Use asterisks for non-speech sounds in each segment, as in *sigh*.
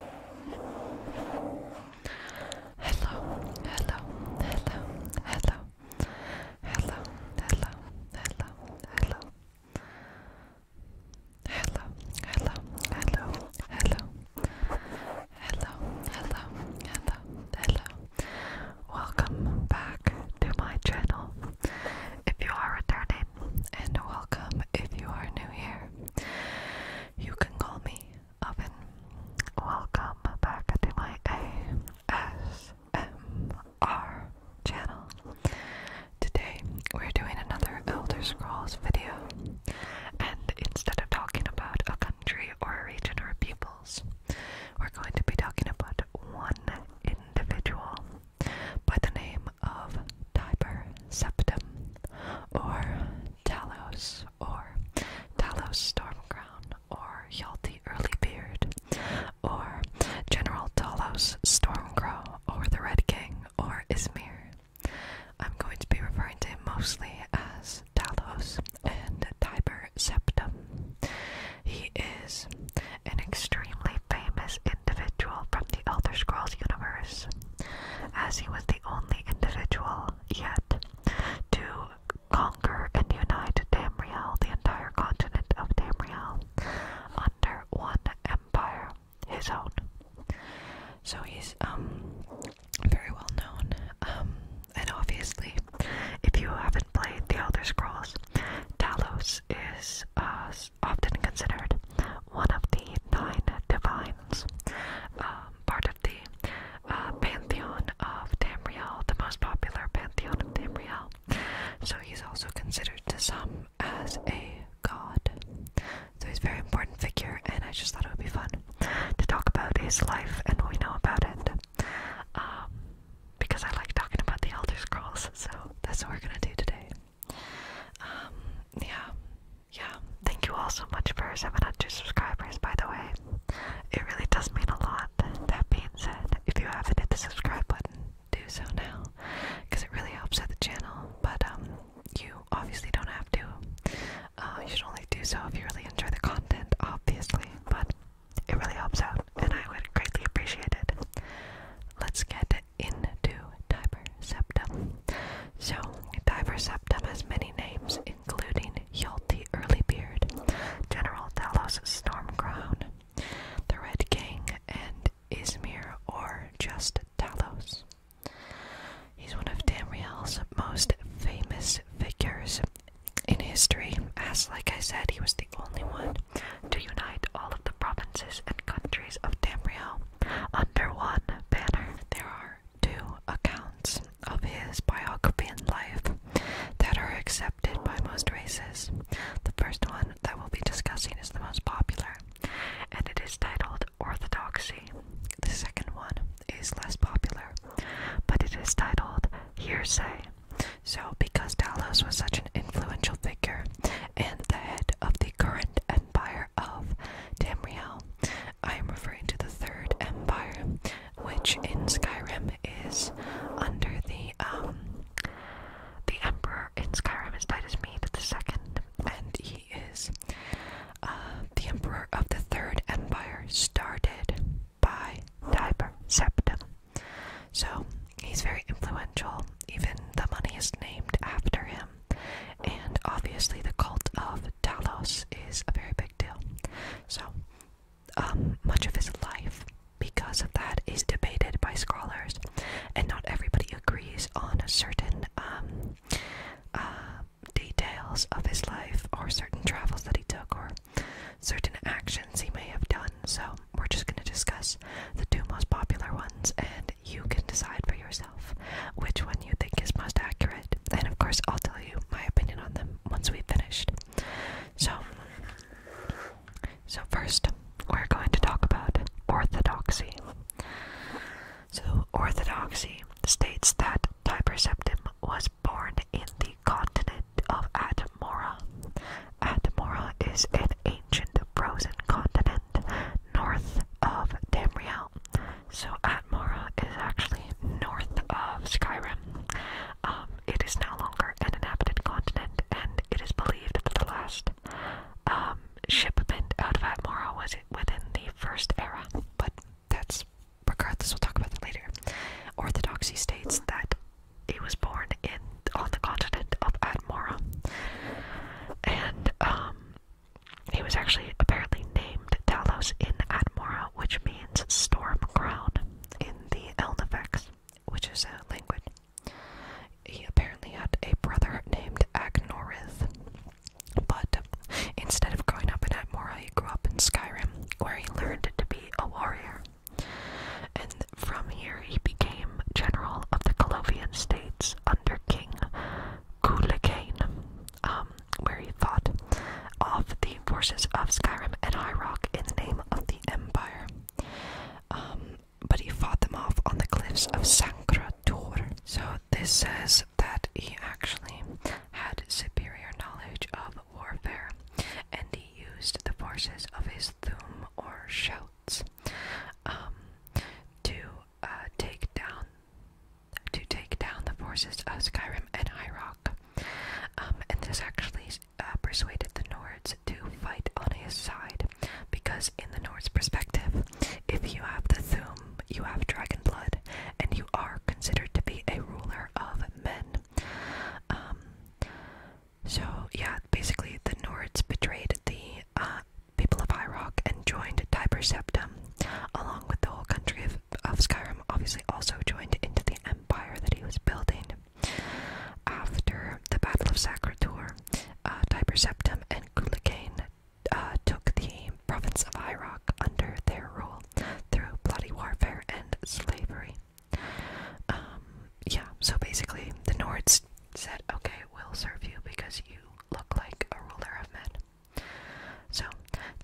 Hello, hello, hello, hello, hello, hello, hello, hello. Hello, hello, hello, hello, hello, hello, Welcome back to my channel. If you are returning, and welcome if you are new here. You can call me Oven. Welcome back to my ASMR channel. Today we're doing another Elder Scrolls video, and instead of talking about a country or a region or peoples, we're going to be talking about one individual by the name of Tiber septum or Talos or Talos Stormcrown or Yalty Early Beard, or General Talos Stormcrow or the Red King or Ismir. I'm going to be referring to him mostly as Talos and Tiber Septum. He is an extremely famous individual from the Elder Scrolls universe as he was the only individual yet to conquer and unite Tamriel, the entire continent of Tamriel, under one empire, his own. So he's um very well known. Um and obviously if you haven't played The Elder Scrolls, Talos is uh, often considered one of the nine divines, um, part of the uh, pantheon of Tamriel, the most popular pantheon of Tamriel. So he's also considered to some as a god. So he's a very important figure, and I just thought it would be fun to talk about his life and we know about it. Um, because I like talking about the Elder Scrolls, so that's what we're gonna do today. Um, yeah, yeah, thank you all so much for 700 subscribers, by the way. It really does mean a lot. That being said, if you haven't hit the subscribe button, do so now, because it really helps out the channel. But um, you obviously don't have to. Uh, you should only do so if you really enjoy the content, obviously. But it really helps out, and I would greatly appreciate it. Let's get into Tiber Septum. So, Diver Septum has many names, including Early Beard, General Talos Storm Crown, the Red King, and Izmir or just Talos. He's one of Tamriel's most famous figures in history, as, like I said, he was the only one to unite all of the provinces and countries of Tamriel under one banner. There are two accounts of his biography and life that are accepted by most races. The first one that we'll be discussing is the most popular, and it is titled Orthodoxy. The second one is less popular, but it is titled Hearsay. So, because Talos was such an influential figure and the head of the current empire of Tamriel, I am referring to the Third Empire, which in Skyrim is under the um, the Emperor in Skyrim is Titus Meade the Second, and he is uh, the Emperor of the Third Empire, started by Tiber Septim. So he's very influential. Even the money is named after him. And obviously, the cult of Talos is a very big deal. So, um, much of his life, because of that, is debated by scholars, and not everybody agrees on certain um, uh, details of his life, or certain travels that he took, or certain actions he may have done. So, we're just going to discuss the two most popular ones, and you can decide for yourself which one you think is most accurate, and of course, I'll tell you my opinion on them once we've finished. So, so first, we're going to talk about orthodoxy. So, orthodoxy states that Tiberceptum was born in the continent of Atmora. Atmora is an ancient frozen continent north of Tamriel, so Atmora is actually north of Skyrim. Um, it is no longer an inhabited continent, and it is believed that the last um, shipment out of Atmora was within the First Era. But that's regardless. We'll talk about that later. Orthodoxy states that he was born in on the continent of Atmora, and um, he was actually apparently named Talos in Atmora, which means storm crown in the Elnifex, which is a language. He apparently had a brother named Agnorith, but instead of growing up in Atmora, he grew up in Skyrim, where he learned to be a warrior. And from here, he became general of the Colovian states under King Kulakain. Um, where he fought off the forces of Skyrim and High Rock in the name of the Empire. Um, but he fought them off on the cliffs of Sancra Tor. So this says that he actually had superior knowledge of warfare, and he used the forces of his thum or shouts um, to uh, take down to take down the forces of Skyrim and High Rock. Um, and this actually uh, persuaded the Nords to fight on his side, because in the Nords' perspective, if you have the Thum, you have dragon blood, and you are considered to be a ruler of men. Um, so yeah, basically the Nords betrayed the uh, people of High Rock and joined Tiber along with the whole country of, Skyrim, obviously also joined into the empire that he was building. After the Battle of Sacrator, uh, Tiber and Gulagane uh, took the province of Iroc under their rule through bloody warfare and slavery. Um, yeah, so basically the Nords said, okay, we'll serve you because you look like a ruler of men. So,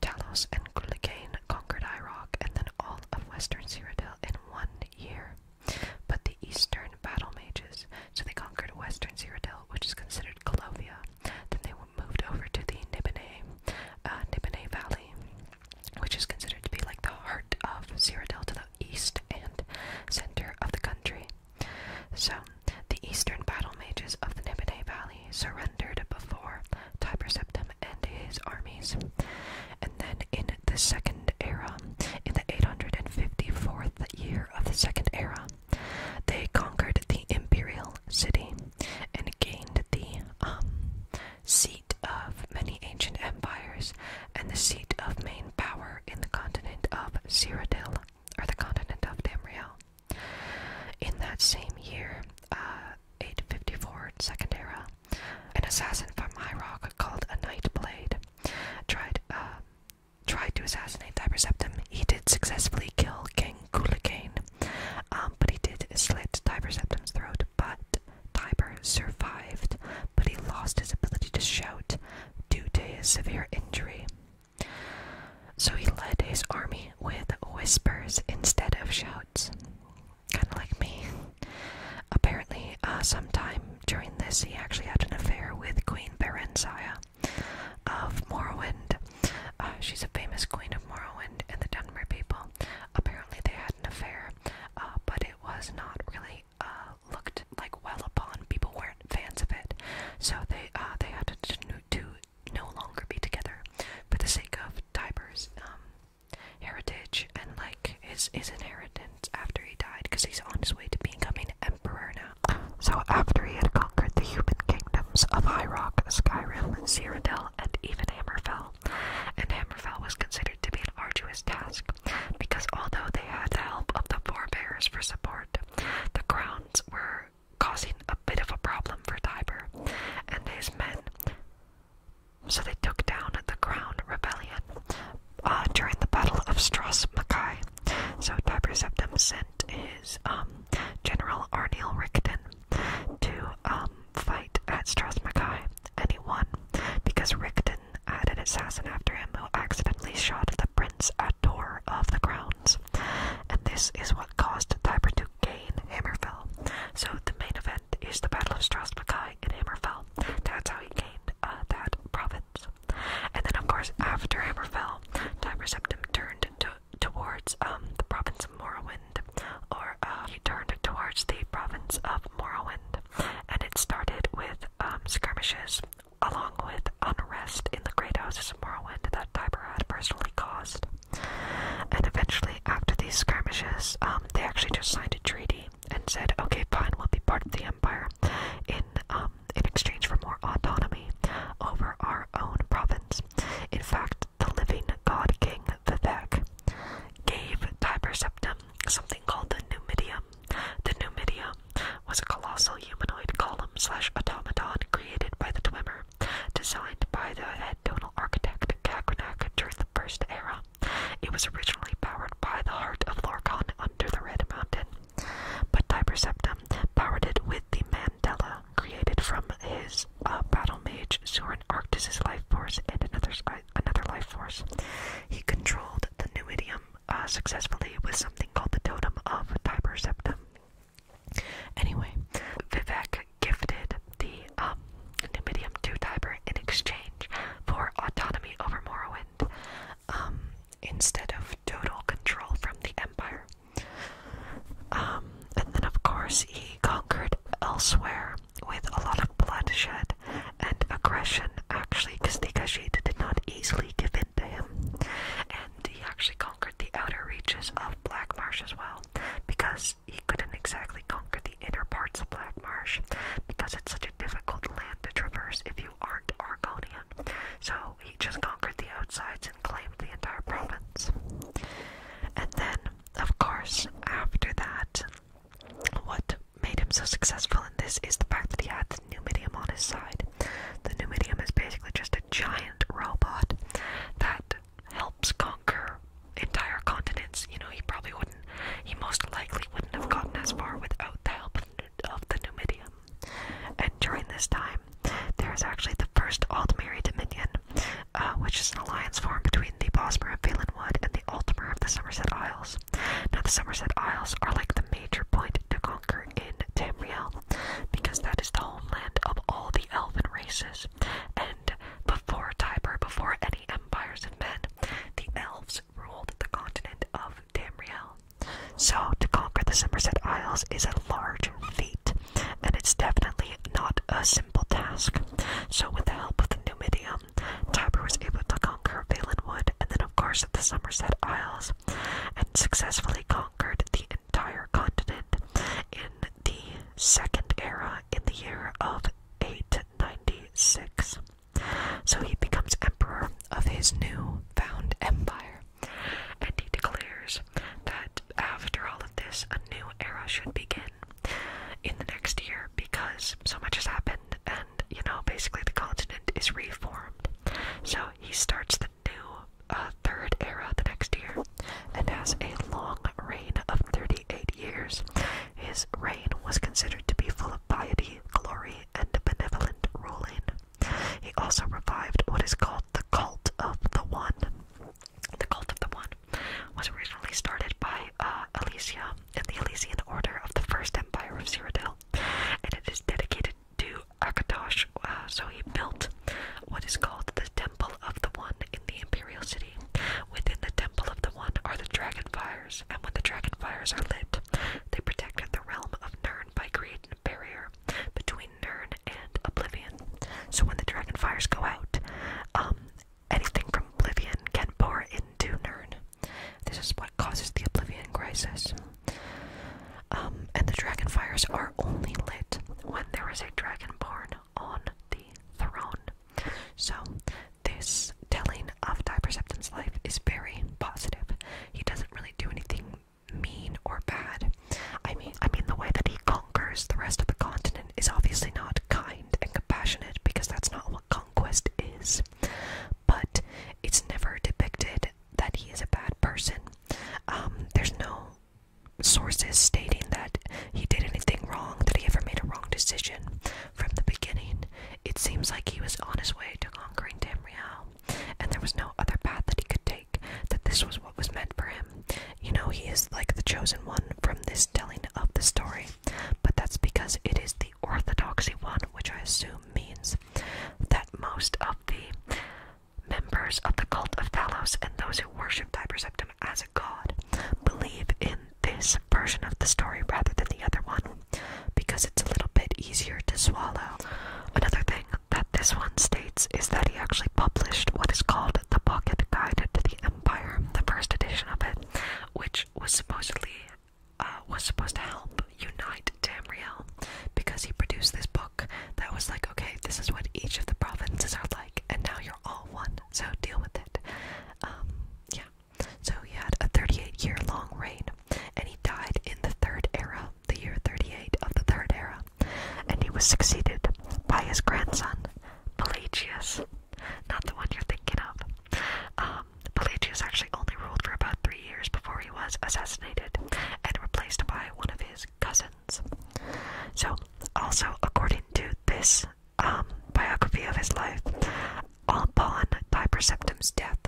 Talos and Gulligain conquered Iroc and then all of western Cyrodiil in one year. But the eastern battle mages, so they conquered western Cyrodiil, which is considered Golovia. Then they moved over to the Nibene, uh, Valley, which is considered to be like the heart of Cyrodiil to the east and center of the country. So, the eastern battle mages of the Nibene Valley surrendered before Tiber and his armies. And then in the second era, in the 854th year of the second era, they conquered the imperial city and gained the um, seat of many ancient empires and the seat of main power in the continent of Cyrodiil, or the continent of Damriel. In that same year, uh, 854 second era, an assassin from High Rock called a Nightblade tried uh, tried to assassinate Tiberseptum. He did successfully kill King Gulikane, um, but he did slit Tiberseptum's throat. But Tiber survived, but he lost his ability to shout due to his severe injury. So he led his army with whispers instead of shouts. Kind of like me. Apparently, uh, sometime during this, he actually had an affair with Queen Berenzia of Morrowind. Uh, she's a famous queen of Morrowind and the Dunmer people. Apparently, they had an affair, uh, but it was not really uh, looked like well upon. People weren't fans of it, so they they had to, to no longer be together for the sake of Tyber's um, heritage and like his his inheritance after he died, because he's on his way to becoming emperor now. *sighs* So after he had conquered the human kingdoms of High Rock, Skyrim, Cyrodiil, and even Hammerfell, and Hammerfell was considered to be an arduous task because although they had the help of the forebears for support, the crowns were causing a bit of a problem for Tiber and his men. So they took down the ground rebellion uh, during the Battle of Strassmachai. So Tiber Septim sent his um, general Arniel Rickton to um, fight at Strassmachai, and he won because Rickton had an assassin after him who accidentally shot the prince at door of the grounds. And this is what caused Tiber to to Hammerfell. So the main event is the Battle of Strathmackay in Hammerfell. That's how he gained uh, that province. And then, of course, after Hammerfell, Tiber Septim turned towards um, the province of Morrowind, or uh, he turned towards the province of Morrowind, and it started with um, skirmishes along with unrest in the great houses of Morrowind that Tiber had personally caused. And eventually, after these skirmishes, um, they actually just signed a treaty and said, "Okay, fine, we'll be part of the empire in um, in exchange for more autonomy over our own province." In fact, the living god king Vivek gave Tiber Septim something called the Numidium. The Numidium was a colossal humanoid column slash automaton created by the Twimmer. Designed by the head Donal architect Kagranak during the First Era, it was originally powered by the heart of Lorcan under the Red Mountain, but Tiber Septim powered it with the Mandela created from his uh, battle mage Surin Arctus's life force and another another life force. He controlled the new idiom uh, successfully with something called the Totem of Tiber Septim. Anyway, Vivek gifted the um, Numidium to Tiber in exchange for autonomy over Morrowind, um, instead of total control from the Empire. Um, and then, of course, he conquered elsewhere with a lot of bloodshed and aggression, actually, because Nikashita did not easily give in to him he actually conquered the outer reaches of Black Marsh as well, because he couldn't exactly conquer the inner parts of Black Marsh, because it's such a difficult land to traverse if you aren't Argonian. So he just conquered the outsides and claimed the entire province. And then, of course, after that, what made him so successful in this is the fact that he had the Numidium on his side. The Numidium is basically just a giant robot that helps conquer entire continents. You know, he probably wouldn't, he most likely wouldn't have gotten as far without the help of, the Numidium. And during this time, there is actually the first Altmeri Dominion, uh, which is an alliance formed between the Bosmer of Phelanwood and the Altmer of the Somerset Isles. Now, the Somerset Isles are like the major point to conquer in Tamriel, because that is the homeland of all the elven races and before Tiber, before any empires of men, the elves ruled the continent of Damriel. So, to conquer the Somerset Isles is a large feat, and it's definitely not a simple task. So, with the help of the Numidium, Tiber was able to conquer Valenwood and then, of course, the Somerset Isles, and successfully conquered the entire continent in the Second Era in the year of 896. So he becomes emperor of his new found empire, and he declares that after all of this, a new era should begin in the next year because so much has happened, and you know, basically the continent is reformed. So he starts the new a third era the next year and has a long reign of 38 years. His reign was considered to be full of piety, glory, and benevolent ruling. He also revived what is called the cult of the One. The cult of the One was originally started by uh, Elysia in the Elysian Order of the First Empire of Cyrodiil, and it is dedicated to Akatosh. Uh, so he built what is called the temple of the one in the imperial city. Within the temple of the one are the dragon fires, and when the dragon fires are lit, they protect the realm of Nern by creating a barrier between Nern and Oblivion. So when the dragon fires go out, um, anything from Oblivion can pour into Nern. This is what causes the Oblivion crisis. Um, and the dragon fires are only lit when there is a dragonborn on the throne. So, this telling of Diperception's life is very positive. He doesn't really do anything mean or bad. I mean, I mean the way that he conquers the rest of the continent is obviously not kind and compassionate because that's not what conquest is. But it's never depicted that he is a bad person. Um, there's no sources stating that he did anything wrong, that he ever made a wrong decision from the beginning. It seems like he was on his way to conquering Tamriel, and there was no other path that he could take, that this was what was meant for him. You know, he is like the chosen one from this telling of the story, but that's because it is the orthodoxy one, which I assume means that most of the Members of the cult of Talos and those who worship Tiberseptum as a god believe in this version of the story rather than the other one because it's a little bit easier to swallow. Another thing that this one states is that he actually published what is called the Pocket Guide to the Empire, the first edition of it, which was supposedly uh, was supposed to help unite Tamriel because he produced this book that was like, okay, this is what each of the provinces are like and now you're all one, so deal with it. Um, yeah. So he had a 38 year long reign, and he died in the Third Era, the year 38 of the Third Era, and he was succeeded by his grandson, Pelagius. Not the one you're thinking of. Um, Pelagius actually only ruled for about three years before he was assassinated and replaced by one of his cousins. So, also according to this um, biography of his life, upon Tiberseptum's death,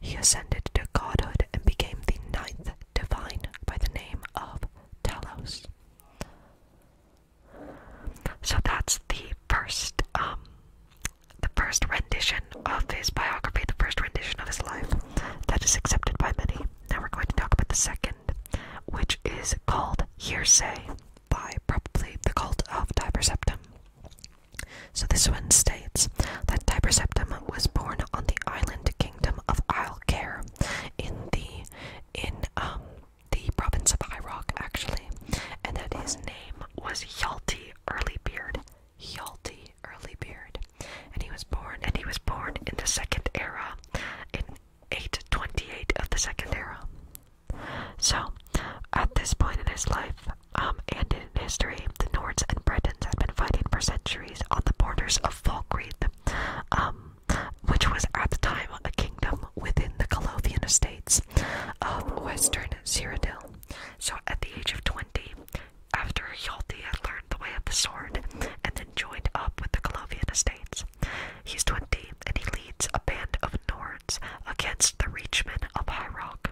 he ascended to godhood and became the ninth divine by the name of Talos. So that's the first, um, the first rendition of his biography, the first rendition of his life that is accepted by many. Now we're going to talk about the second which is called hearsay by probably the cult of Tiber Septim. So this one states that Tiber Septim was born on the island kingdom of Isle Care in the in um the province of High Rock actually, and that his name was Yalti Earlybeard. Yalti Beard, And he was born and he was born in the second era in 828 of the second era. So, at this point in his life, um, and in history, the Nords and Bretons had been fighting for centuries on the borders of Falkreath, um, which was at the time a kingdom within the Clothian estates of western Cyrodiil. So, at the age of 20, after Hjalti had learned the way of the sword and then joined up with the Clovian estates, He's 20 and he leads a band of Nords against the Reachmen of High Rock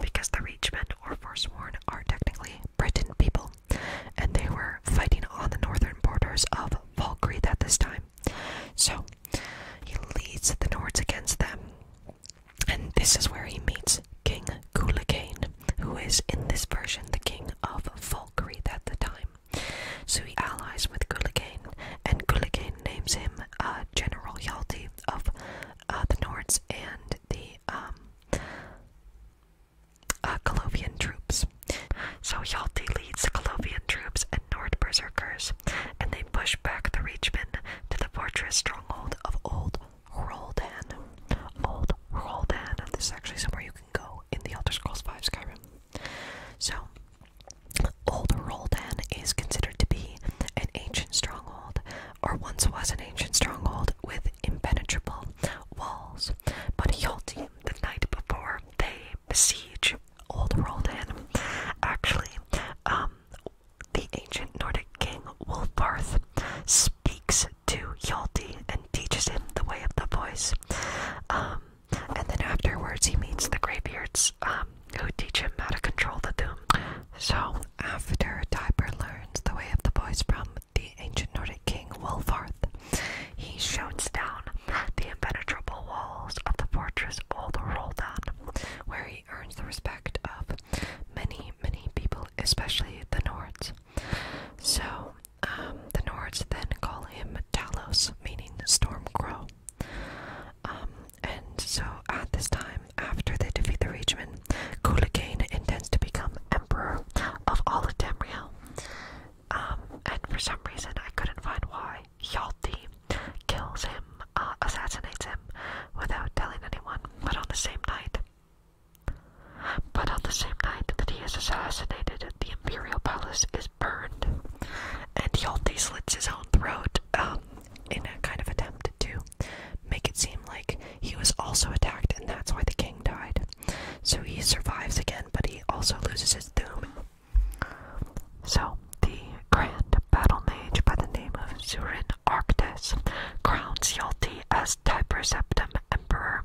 because the Reachmen or Forsworn are technically Britain people and they were fighting on the northern borders of Falkreath at this time. So he leads the Nords against them. And this is where he meets King Kulakain, who is in this version the king of Falkreath at the time. So he allies with Gulligain, and Gulligain names him uh, General Hjalti of uh, the Nords and the um, uh, Colovian troops. So Hjalti leads the Colovian troops and Nord berserkers, and they push back the Reachmen to the fortress stronghold of Old Roldan. Old Roldan. This is actually somewhere you can go in the Elder Scrolls V Skyrim. So, Old Roldan is considered to be an ancient stronghold, or once was an ancient stronghold with impenetrable walls. But Yolti, the night before they besiege Old Roldan, actually, um, the ancient Nordic king Wolfarth speaks to Yolti and teaches him the way of the voice. Um, and then afterwards, he meets the Greybeards, um, who teach him how to control the Doom. So, after Tyber learns the way of the boys from the ancient Nordic king Wolfarth, he shoots down the impenetrable walls of the fortress old Roldan, where he earns the respect of many, many people, especially the Nords. So, um, the Nords then call him Talos, meaning Storm Crow. Um, and so at this time, after they defeat the Reachman, Kulagain intends to become Emperor of all of Tamriel. Um, and for some reason, I couldn't find why, Yalti kills him, uh, assassinates him, without telling anyone, but on the same night. But on the same night that he is assassinated, the Imperial Palace burned, and Yalti slits his own throat um, in a kind of attempt to make it seem like he was also attacked, and that's why the king died. So he survives again, but he also loses his doom. So the grand battle mage by the name of Zurin Arctis crowns Yalti as Tiber Septim Emperor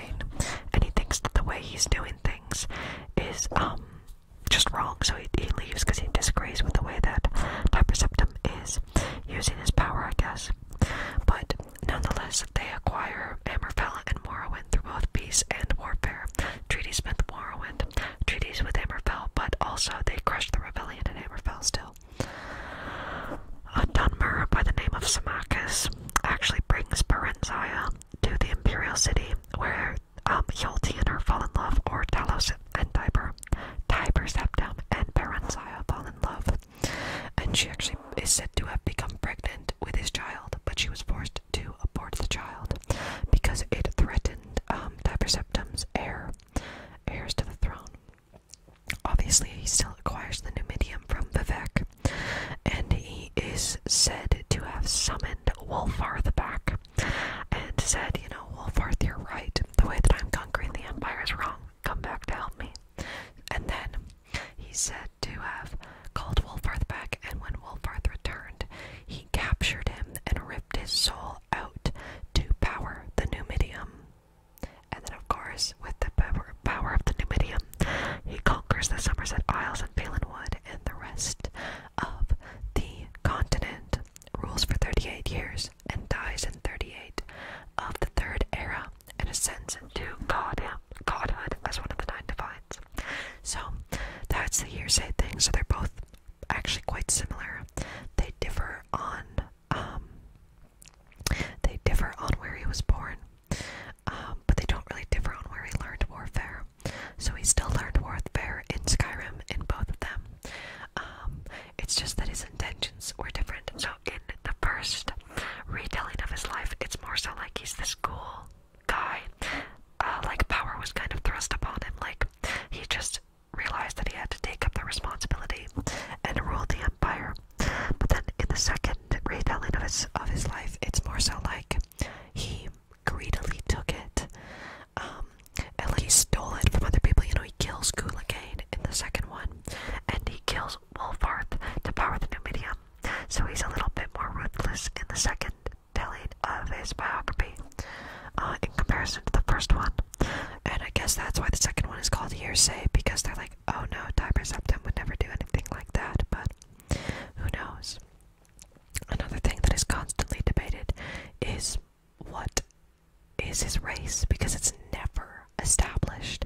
and he thinks that the way he's doing things is um just wrong, so he, he leaves because he disagrees with the way that Typerceptum is using his power, I guess. But nonetheless, they acquire Amorfella and Morrowind through both peace and warfare. Treaties with Morrowind, treaties with Amorfell, but also they crushed the rebellion in Amorfell still. A Dunmer by the name of Symmachus actually brings Parenzia to the imperial city where um, and her fall in love, or Talos and Tiber, Tiber and Parenzia fall in love. And she actually is said to have become pregnant with his child, but she was forced to abort the child because it threatened um, heir, heirs to the throne. Obviously, he still acquires the new from Vivek, and he is said to have summoned Wolfarth back and said, You know, Wolfarth, you're right. The way that I'm conquering the Empire is wrong. Come back to help me. And then he said to have called Wolfarth back, and when Wolfarth returned, he captured him and ripped his soul out to power the Numidium. And then, of course, with the power power of the Numidium. He conquers the Somerset Isles and Phelan Wood and the rest of the continent, rules for 38 years, and dies in 38 of the Third Era and ascends to godhead. godhood as one of the Nine Divines. So that's the hearsay thing. So they're both actually quite similar. They differ on um, they differ on where he was born. Um, but they don't really differ on where he learned warfare. So he still learned warfare in Skyrim in both of them. Um, it's just that his intentions were different. So in the first retelling of his life, it's more so like he's this cool guy. Uh, like power was kind of thrust upon him. Like he just realized that he had to take up the responsibility and rule the empire. But then in the second retelling of his of his life. It's more so like he greedily took it, um, and he stole it from other people. You know, he kills Gulagane in the second one, and he kills Wolfarth to power the new So he's a little bit more ruthless in the second telling of his biography, uh, in comparison to the first one. And I guess that's why the second one is called Hearsay because they're like, oh no, Tiber Septim would never do anything like that. But who knows? Another thing that is constantly debated is what is his race because it's never established.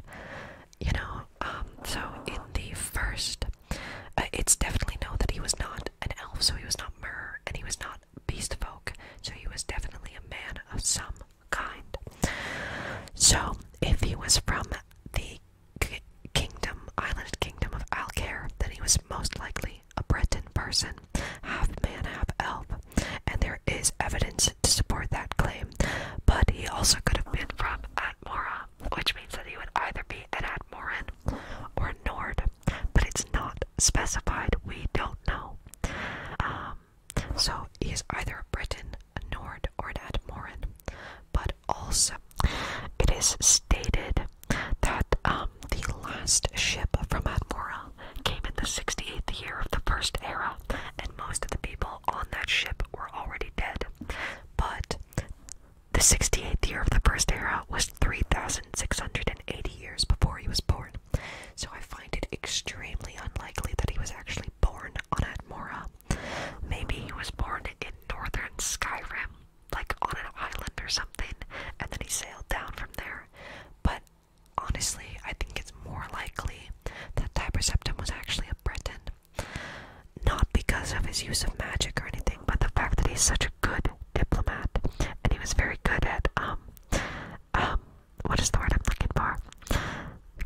You know, um, so in the first, uh, it's definitely known that he was not an elf, so he was not Myrrh, and he was not beast folk, so he was definitely a man of some kind. So, if he was from the kingdom, island kingdom of Alcare, then he was most likely a Breton person, half man, half elf, and there is evidence to support that claim. But he also could have been from Atmora, which means that he would either be an Atmoran or Nord, but it's not specified. We don't know. Um, so he is either a Briton Nord or at Morin, but also it is stated that um, the last ship from Admora came in the 68th year of the First Era, and most of the people on that ship were already dead. But the 68th year of the First Era was 3,680 years before he was born, so I find it extremely unlikely that he was actually born on Admora Maybe he was born in northern Skyrim, like on an island or something, and then he sailed down from there. But honestly, I think it's more likely that Tiberseptum was actually a Briton, Not because of his use of magic or anything, but the fact that he's such a good diplomat, and he was very good at um, um, what is the word I'm looking for?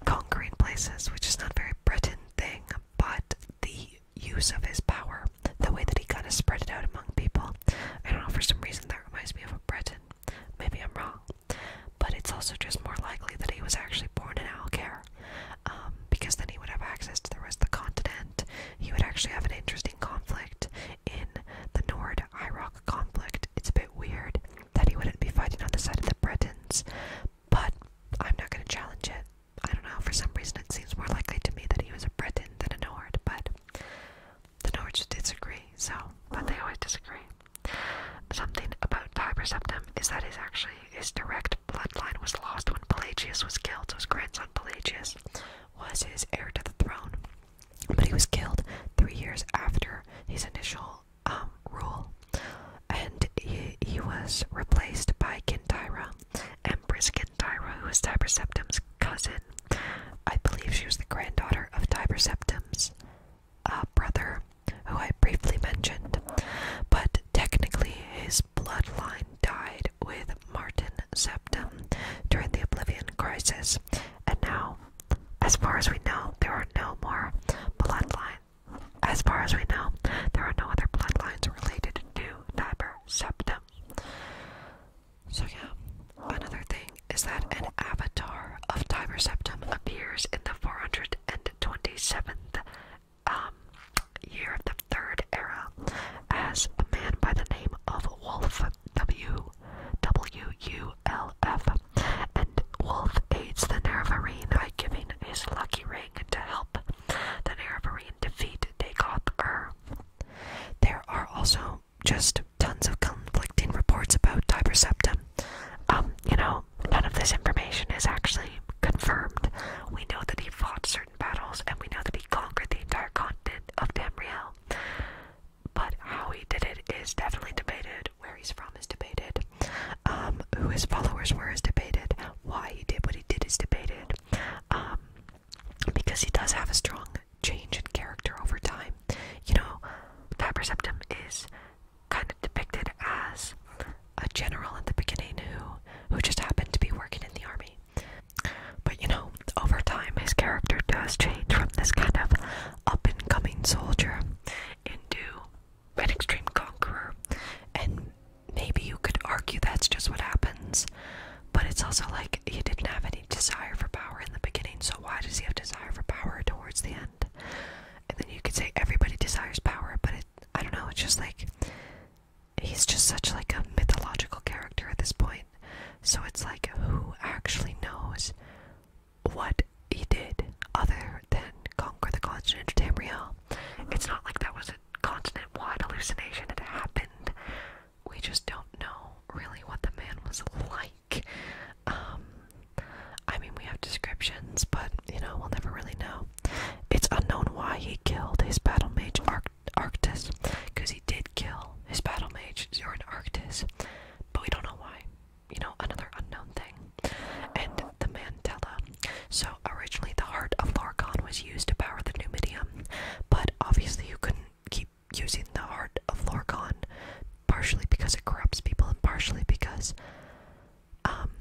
Conquering places, which is not a very Briton thing, but the use of his power, the way that he kind of spread it out among people. I don't know, for some reason that reminds me of a Breton. Maybe I'm wrong. But it's also just more likely that he was actually born in Alcare, um, because then he would have access to the rest of the continent. He would actually have an interesting conflict in the Nord Iraq conflict. It's a bit weird that he wouldn't be fighting on the side of the Bretons, but I'm not going to challenge it. I don't know, for some reason it seems more likely to me that he was a Briton than a Nord, but the Nords disagree, so, but they always disagree. Something about Tiber Septim is that his actually his direct bloodline was lost when Pelagius was killed, so his grandson Pelagius was his heir to the throne. But he was killed three years after his initial um, rule and he, was replaced by Kintyra, Empress Kintyra, who was Tiber Septim's cousin. I believe she was the granddaughter of Tiber Septim's uh, brother, who I briefly mentioned, but technically his bloodline died with Martin Septum during the Oblivion Crisis, and now, as far as we know, there are no more bloodlines. As far as we know, there are no other bloodlines related to Tiber Septum. So, yeah, another thing is that an avatar of Tiber Septum appears in the 427th um, year of the Third Era as a man by the name of Wolf W. W. U. L. F. And Wolf aids the Narvarine by giving his lucky ring to help the Nerevarine defeat Dagoth Ur. There are also just tons of conflicting reports about Tiber Septim. Um, you know, none of this information is actually confirmed. We know that he fought certain battles, and we know that he conquered the entire continent of Tamriel. But how he did it is definitely debated. Where he's from is debated. Um, who his followers were is debated. Why he did what he he did is debated um, because he does have a strong change in character over time. You know, Faber is kind of depicted as a general in the beginning who who just happened to be working in the army. But you know, over time his character does change from this kind of up and coming soldier into an extreme conqueror, and maybe you could argue that's just what happens. But it's also like he didn't have any desire for power in the beginning, so why does he have desire for power towards the end? And then you could say everybody desires power, but it, I don't know. It's just like he's just such like a mythological character at this point. So it's like who actually knows what he did other than conquer the continent of Tamriel? It's not like that was an continent-wide hallucination had happened. We just don't know really what the man was like. Um, I mean, we have descriptions, but you know, we'll never really know. It's unknown why he killed his battle mage Arc Arctis, because he did kill his battle mage Zoran Arctis, but we don't know why. You know, another unknown thing. And the man Mandela so originally the heart of Lorcan was used to power the Numidium, but obviously you couldn't keep using the heart of Lorcan, partially because it corrupts people and partially because um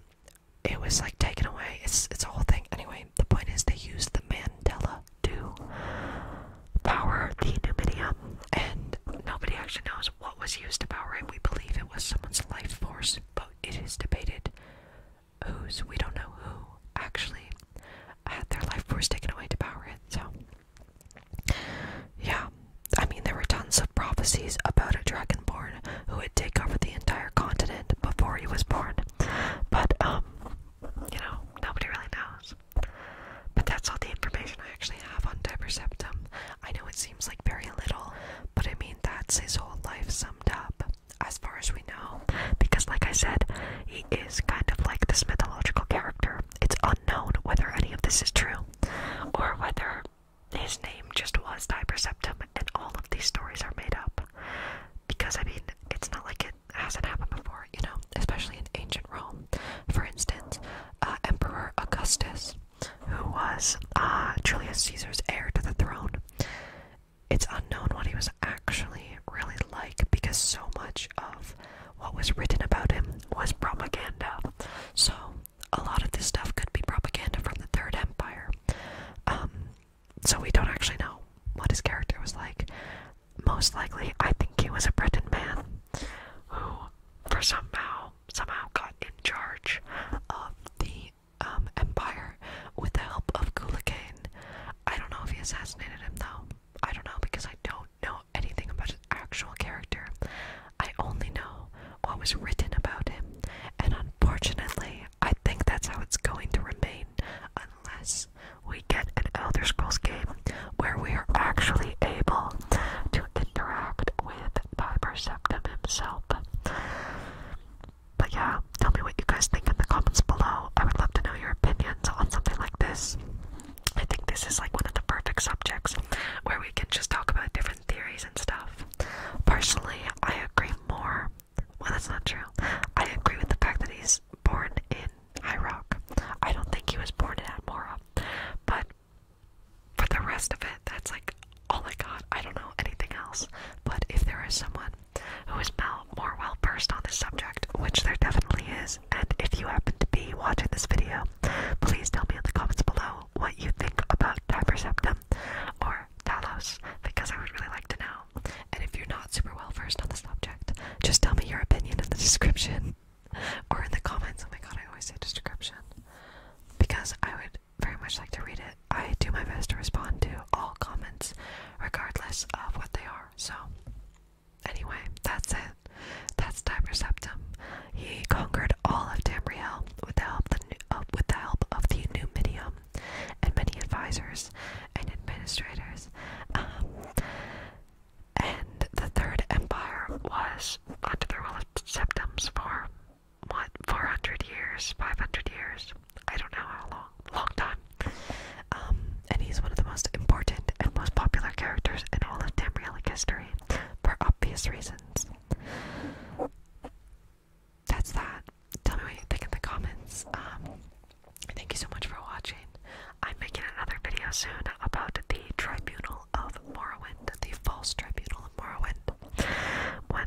it was like taken away. It's it's a whole thing. Anyway, the point is they used the Mandela to power the Numidium and nobody actually knows what was used to power it. We believe it was someone's life force, but it is debated who's we don't know who actually had their life force taken away to power it. So, yeah, I mean, there were tons of prophecies about a dragonborn who would take over the entire continent before he was born, but um, you know, nobody really knows. But that's all the information I actually have on Deperceptum. I know it seems like very little, but I mean, that's his whole life summed up as far as we know, because, like I said, he is kind of like this mythological character. It's unknown whether any of this is true or whether his name just was Diperceptum and all of these stories are made up. Because, I mean, it's not like it hasn't happened before, you know, especially in ancient Rome. For instance, uh, Emperor Augustus, who was uh, Julius Caesar's heir to the throne, it's unknown what he was actually really like because so much of what was written about him was propaganda. So, a lot of this stuff could be propaganda from the Third Empire. Um, so, we don't actually know what his character was like. Most likely, I think he was a Breton man who, for somehow, somehow got in charge of the um, empire with the help of Gula I don't know if he assassinated him though. I don't know because I don't know anything about his actual character. I only know what was written about him, and unfortunately, I think that's how it's going to remain unless we get an Elder Scrolls game where we are actually able to interact with Piper himself. But yeah, tell me what you guys think in the comments below. I would love to know your opinions on something like this. I think this is like one of the perfect subjects where we can just talk about different theories and stuff. Personally, I agree more. Well, that's not true. I agree with the fact that he's born in Iraq. I don't think he was born in Admora. But for the rest of it, that's like all I got. I don't know anything else. But if there is someone who is more well versed on this subject, which there definitely is. And if you happen to be watching this video, please tell me in the comments below what you think about Tiperceptum or Talos, because I would really like to know. And if you're not super well versed on this subject, just tell me your opinion in the description *laughs* or in the comments. Oh my god, I always say description because I would very much like to read it. I do my best to respond to all comments, regardless of what they are. So, anyway, that's it. That's Tiber Septum. He conquered all of Tamriel with the help of the, uh, with the help of the Numidium and many advisors and administrators. Um, and the Third Empire was under the rule of Septums for what 400 years, 500 years. I don't know how long, long time. Um, and he's one of the most important and most popular characters in all of Tamrielic history, for obvious reasons. That's that. Tell me what you think in the comments. Um, thank you so much for watching. I'm making another video soon about the Tribunal of Morrowind, the False Tribunal of Morrowind. When